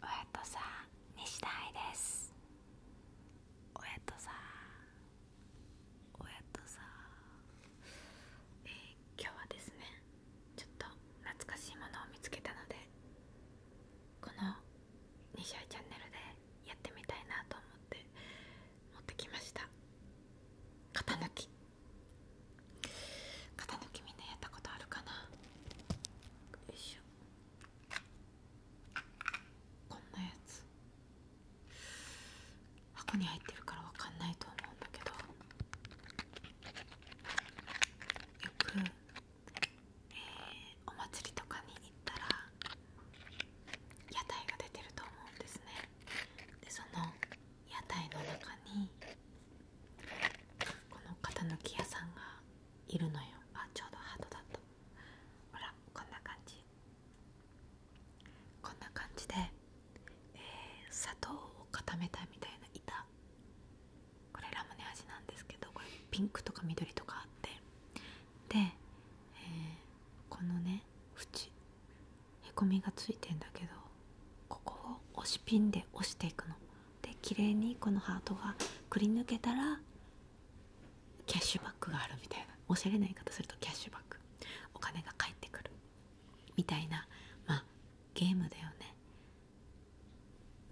親やとさ西田愛ですおやとさおやとさえ今日はですねちょっと懐かしいものを見つけたのでこの西愛チャンネルでやってみたいなと思って持ってきました型抜き型抜きみんなやったことあるかなこんなやつ箱に入ってるからわかんないと思うんだけどよく、えー、お祭りとかに行ったら屋台が出てると思うんですねでその屋台の中にこの型抜き屋さんがいるのよあちょうどハートだとほらこんな感じこんな感じで、え砂糖を固めたみたいな板これラムネ味なんですけどこれピンクとか緑とかあってで、えー、このね縁へこみがついてんだけどここを押しピンで押していくの。で綺麗にこのハートがくり抜けたらキャッシュバックがあるみたいなおしゃれな言い方するとキャッシュバックお金が返ってくるみたいなまあゲームだよね。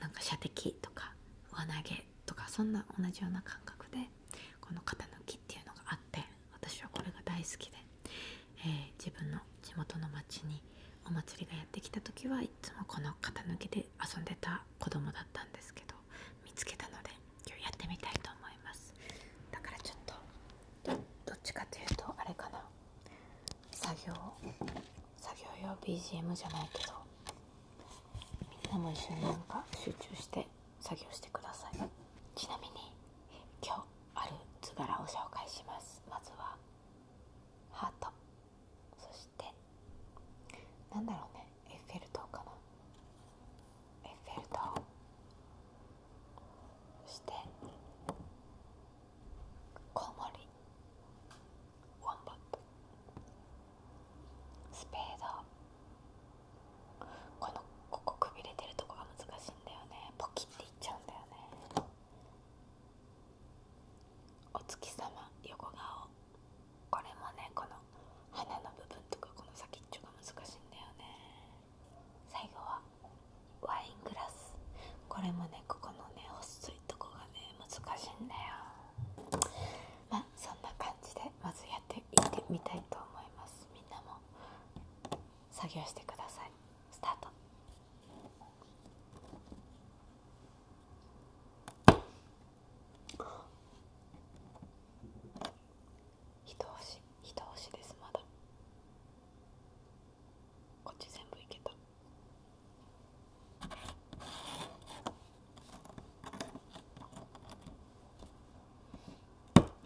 なんか射的とか上投げとかそんな同じような感覚でこの肩抜きっていうのがあって私はこれが大好きで、え自分の地元の町にお祭りがやってきた時はいつもこの型抜きで遊んでた子供だったんですけど見つけたので今日やってみたいと思いますだからちょっとどっちかというとあれかな作業作業用 BGM じゃないけどみんなも一緒になんか集中して作業してくださいちなみに今日ある図柄を紹介しますまずはハートそしてなんだろうねエッフェル塔かなエッフェル塔そしてコウモリワンバットスペードこのここくびれてるとこが難しいんだよねポキッていっちゃうんだよねお月様横顔これもねこの鼻の部分とかこの先っちょが難しいんだよね最後はワイングラスこれもねここのねっ細いとこがね難しいんだよまあそんな感じでまずやっていってみたいと思いますみんなも作業してくださいスタート一押し一押しですまだこっち全部いけた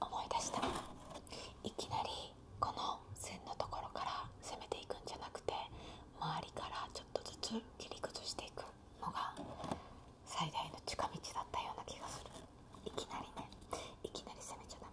思い出したいきなりこの線のところから攻めていくんじゃなくて周りからちょっとずつ切り崩していくのが最大の近道だったような気がするいきなりねいきなり攻めちゃダメ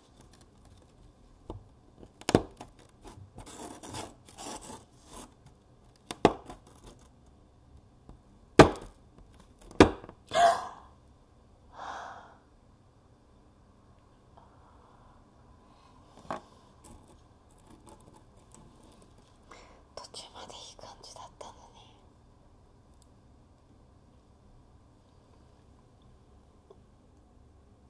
フフフッ途中までいい感じだったのにうん。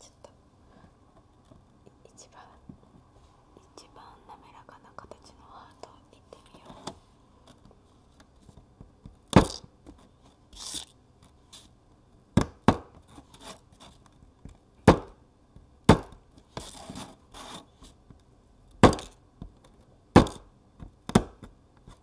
ちょっと一番一番滑らかな形のハートいってみよう。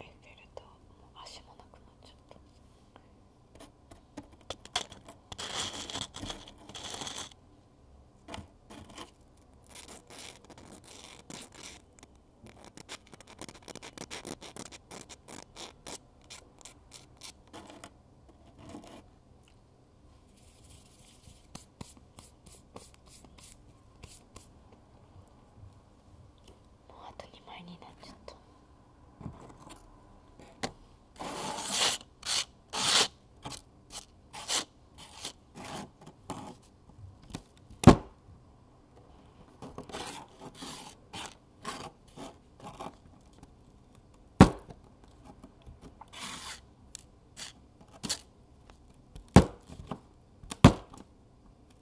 エッフェル塔足もなくなっちゃったもうあと2枚になっちゃった。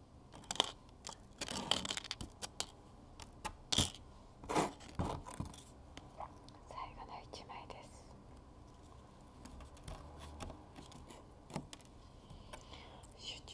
最後の一枚です集中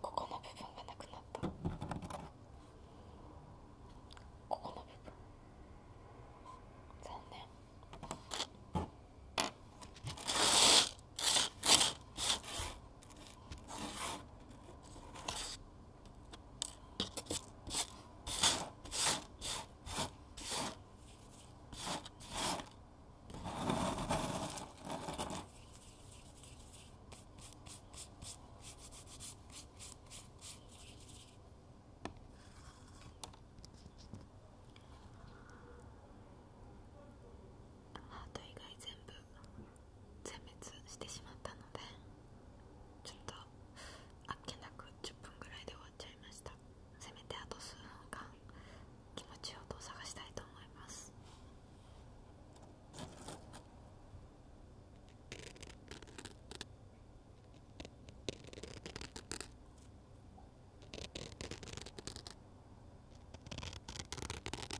ここの部分がなくなったここの部分残念こああ、大概全部全滅してしまったのでちょっとあっけなく10分ぐらいで終わっちゃいましたせめてあと数分間気持ちよと探したいと思います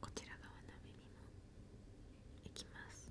こちら側の耳もいきます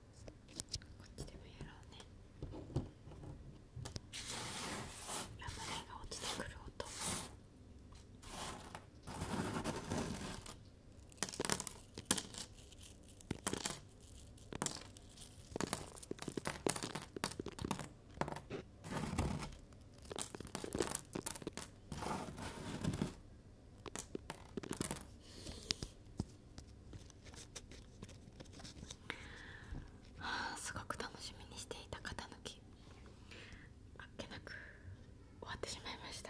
こっちでもやろうねラムネが落ちてくる音はあ、すごく楽しみにしていた型抜きあっけなく終わってしまいました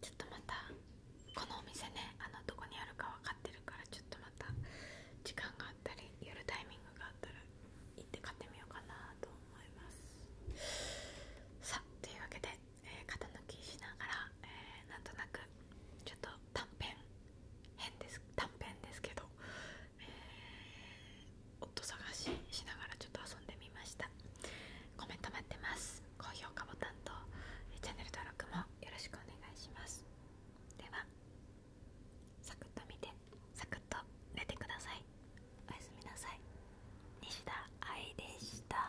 ちょっとまたこのお店ねあのどこにあるか分かってるからちょっとまた時間があったり夜タイミングがあったら行って買ってみようかなと思いますさあというわけでえー、抜きしながら、えー、なんとなくちょっと短編編です短編ですけど、えー、夫探ししながらちょっと遊んでみましたコメント待ってます高評価ボタンとチャンネル登録もよろしくお願いしますではサクッと見てサクッと寝てくださいおやすみなさい西田愛でした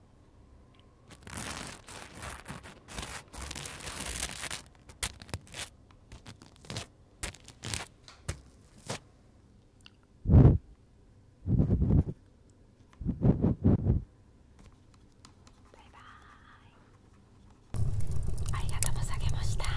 バイバーイありがとうございました